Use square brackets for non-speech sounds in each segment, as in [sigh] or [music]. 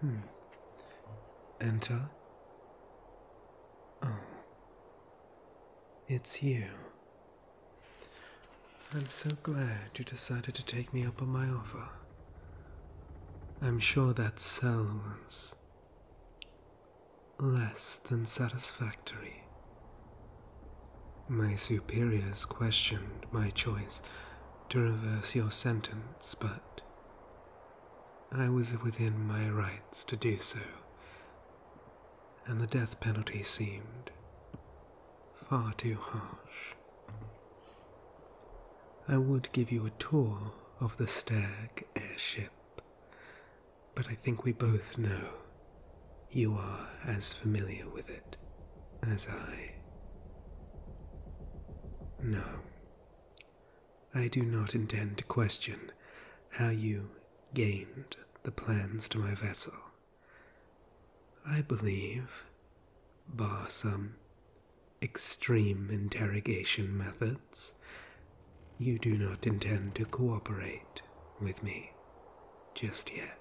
Hmm. Enter. Oh. It's you. I'm so glad you decided to take me up on my offer. I'm sure that cell was Less than satisfactory. My superiors questioned my choice to reverse your sentence, but I was within my rights to do so, and the death penalty seemed far too harsh. I would give you a tour of the Stag airship, but I think we both know you are as familiar with it as I. No, I do not intend to question how you gained the plans to my vessel. I believe, bar some extreme interrogation methods, you do not intend to cooperate with me just yet.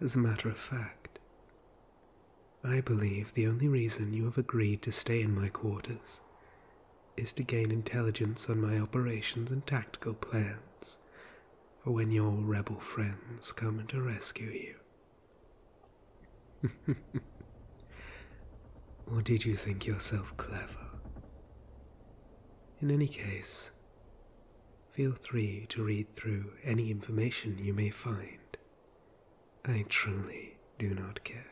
As a matter of fact, I believe the only reason you have agreed to stay in my quarters is to gain intelligence on my operations and tactical plans for when your rebel friends come to rescue you or [laughs] did you think yourself clever? In any case, feel free to read through any information you may find. I truly do not care.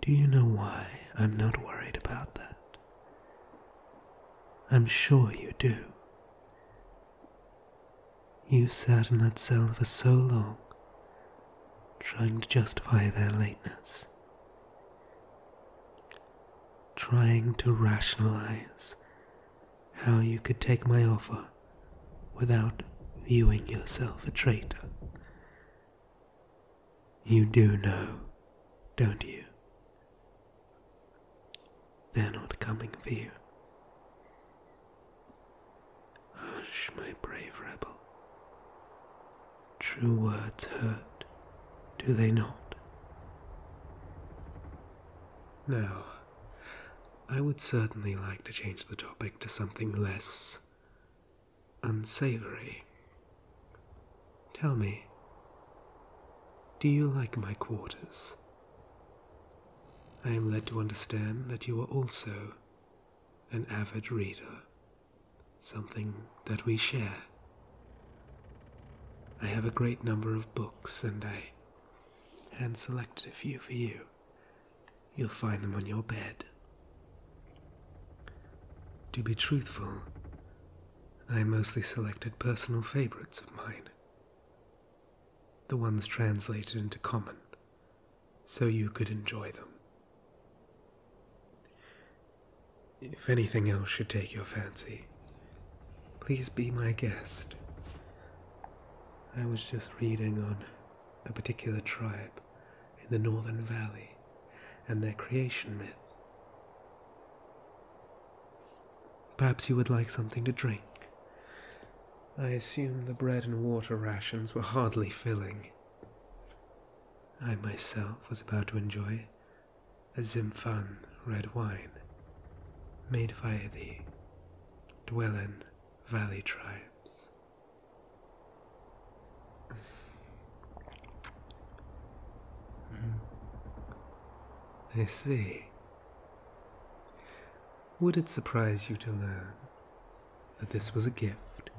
Do you know why I'm not worried about that? I'm sure you do. You sat in that cell for so long, trying to justify their lateness, trying to rationalize how you could take my offer without viewing yourself a traitor. You do know, don't you, they're not coming for you. Hush, my brave rebel. True words hurt, do they not? Now, I would certainly like to change the topic to something less unsavory Tell me, do you like my quarters? I am led to understand that you are also an avid reader, something that we share. I have a great number of books and I hand selected a few for you. You'll find them on your bed. To be truthful, I mostly selected personal favorites of mine, the ones translated into common, so you could enjoy them. If anything else should take your fancy, please be my guest. I was just reading on a particular tribe in the Northern Valley and their creation myth. Perhaps you would like something to drink. I assume the bread and water rations were hardly filling. I myself was about to enjoy a Zimphan red wine made via the Dwellen Valley tribes. Hmm. I see. Would it surprise you to learn that this was a gift?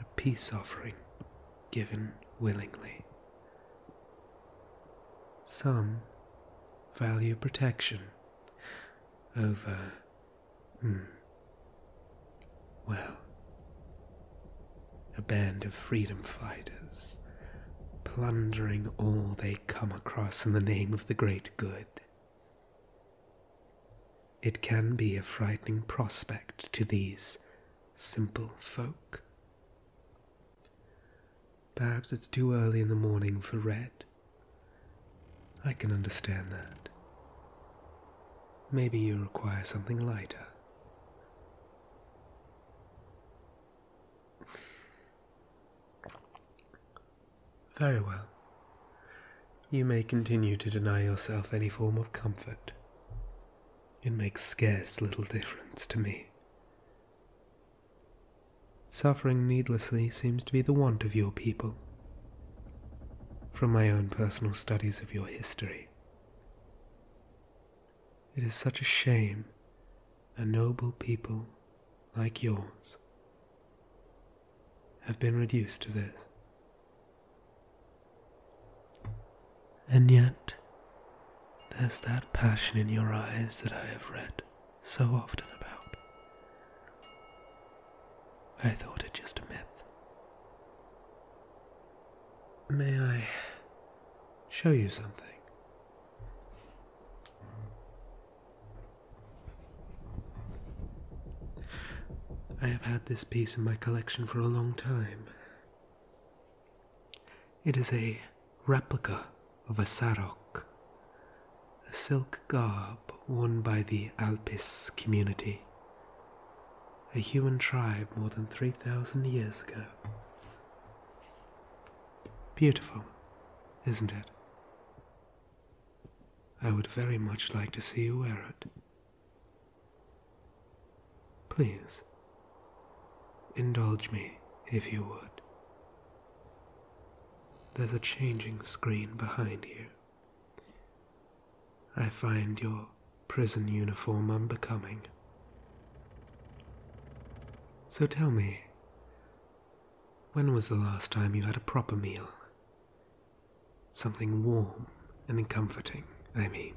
A peace offering given willingly. Some value protection over Hmm. Well, a band of freedom fighters, plundering all they come across in the name of the great good. It can be a frightening prospect to these simple folk. Perhaps it's too early in the morning for red. I can understand that. Maybe you require something lighter. Very well. You may continue to deny yourself any form of comfort. It makes scarce little difference to me. Suffering needlessly seems to be the want of your people from my own personal studies of your history. It is such a shame a noble people like yours have been reduced to this. And yet, there's that passion in your eyes that I have read so often about. I thought it just a myth. May I show you something? I have had this piece in my collection for a long time. It is a replica of a sarok, a silk garb worn by the Alpis community, a human tribe more than 3,000 years ago. Beautiful, isn't it? I would very much like to see you wear it. Please, indulge me if you would. There's a changing screen behind you. I find your prison uniform unbecoming. So tell me, when was the last time you had a proper meal? Something warm and comforting, I mean.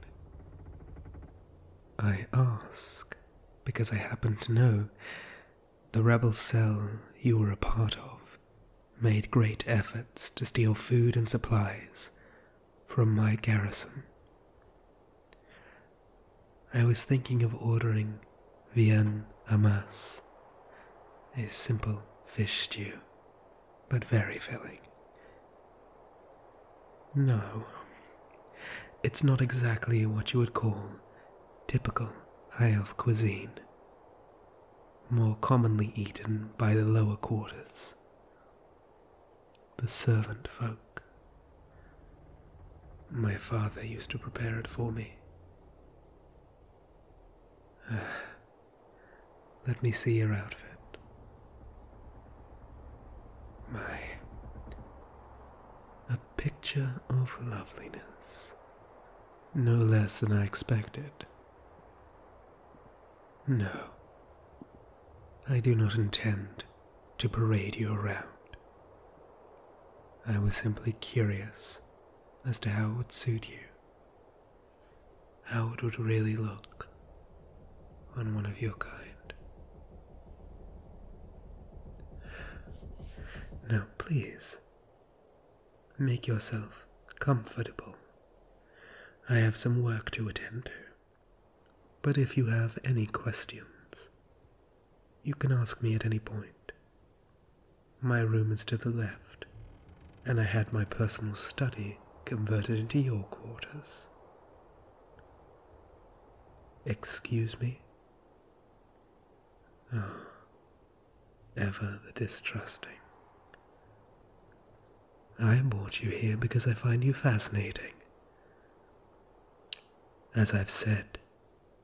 I ask because I happen to know the rebel cell you were a part of made great efforts to steal food and supplies from my garrison. I was thinking of ordering Vienne Amas, a simple fish stew, but very filling. No, it's not exactly what you would call typical high elf cuisine more commonly eaten by the lower quarters, the servant folk. My father used to prepare it for me. [sighs] let me see your outfit. My. A picture of loveliness. No less than I expected. No, I do not intend to parade you around. I was simply curious as to how it would suit you, how it would really look on one of your kind. No, please, make yourself comfortable. I have some work to attend to. But if you have any questions, you can ask me at any point. My room is to the left, and I had my personal study converted into your quarters. Excuse me? Oh, ever the distrusting. I brought you here because I find you fascinating. As I've said,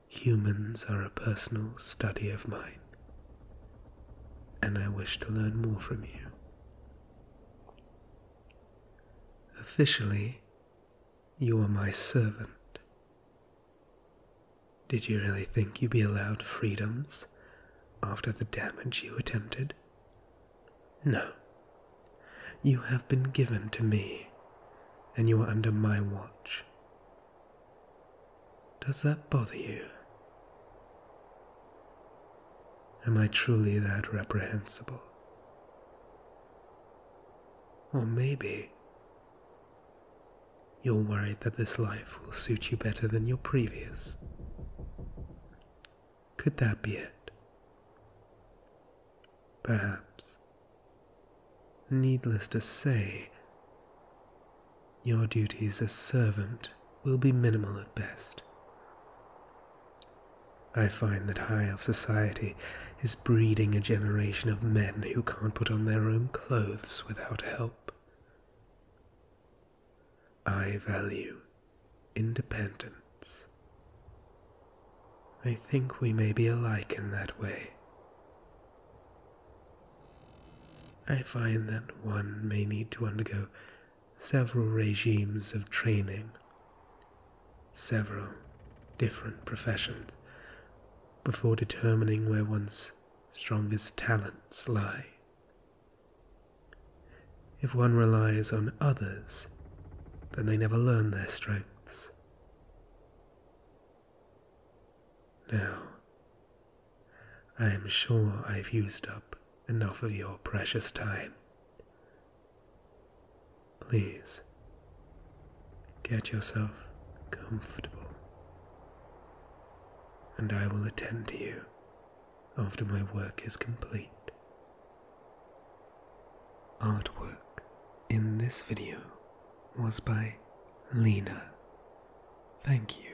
humans are a personal study of mine, and I wish to learn more from you. Officially, you are my servant. Did you really think you'd be allowed freedoms after the damage you attempted? No. You have been given to me, and you are under my watch. Does that bother you? Am I truly that reprehensible? Or maybe you're worried that this life will suit you better than your previous. Could that be it? Perhaps. Needless to say, your duties as servant will be minimal at best. I find that high up society is breeding a generation of men who can't put on their own clothes without help. I value independence. I think we may be alike in that way. I find that one may need to undergo several regimes of training several different professions before determining where one's strongest talents lie. If one relies on others, then they never learn their strengths. Now, I am sure I've used up enough of your precious time, Please get yourself comfortable, and I will attend to you after my work is complete. Artwork in this video was by Lena. Thank you.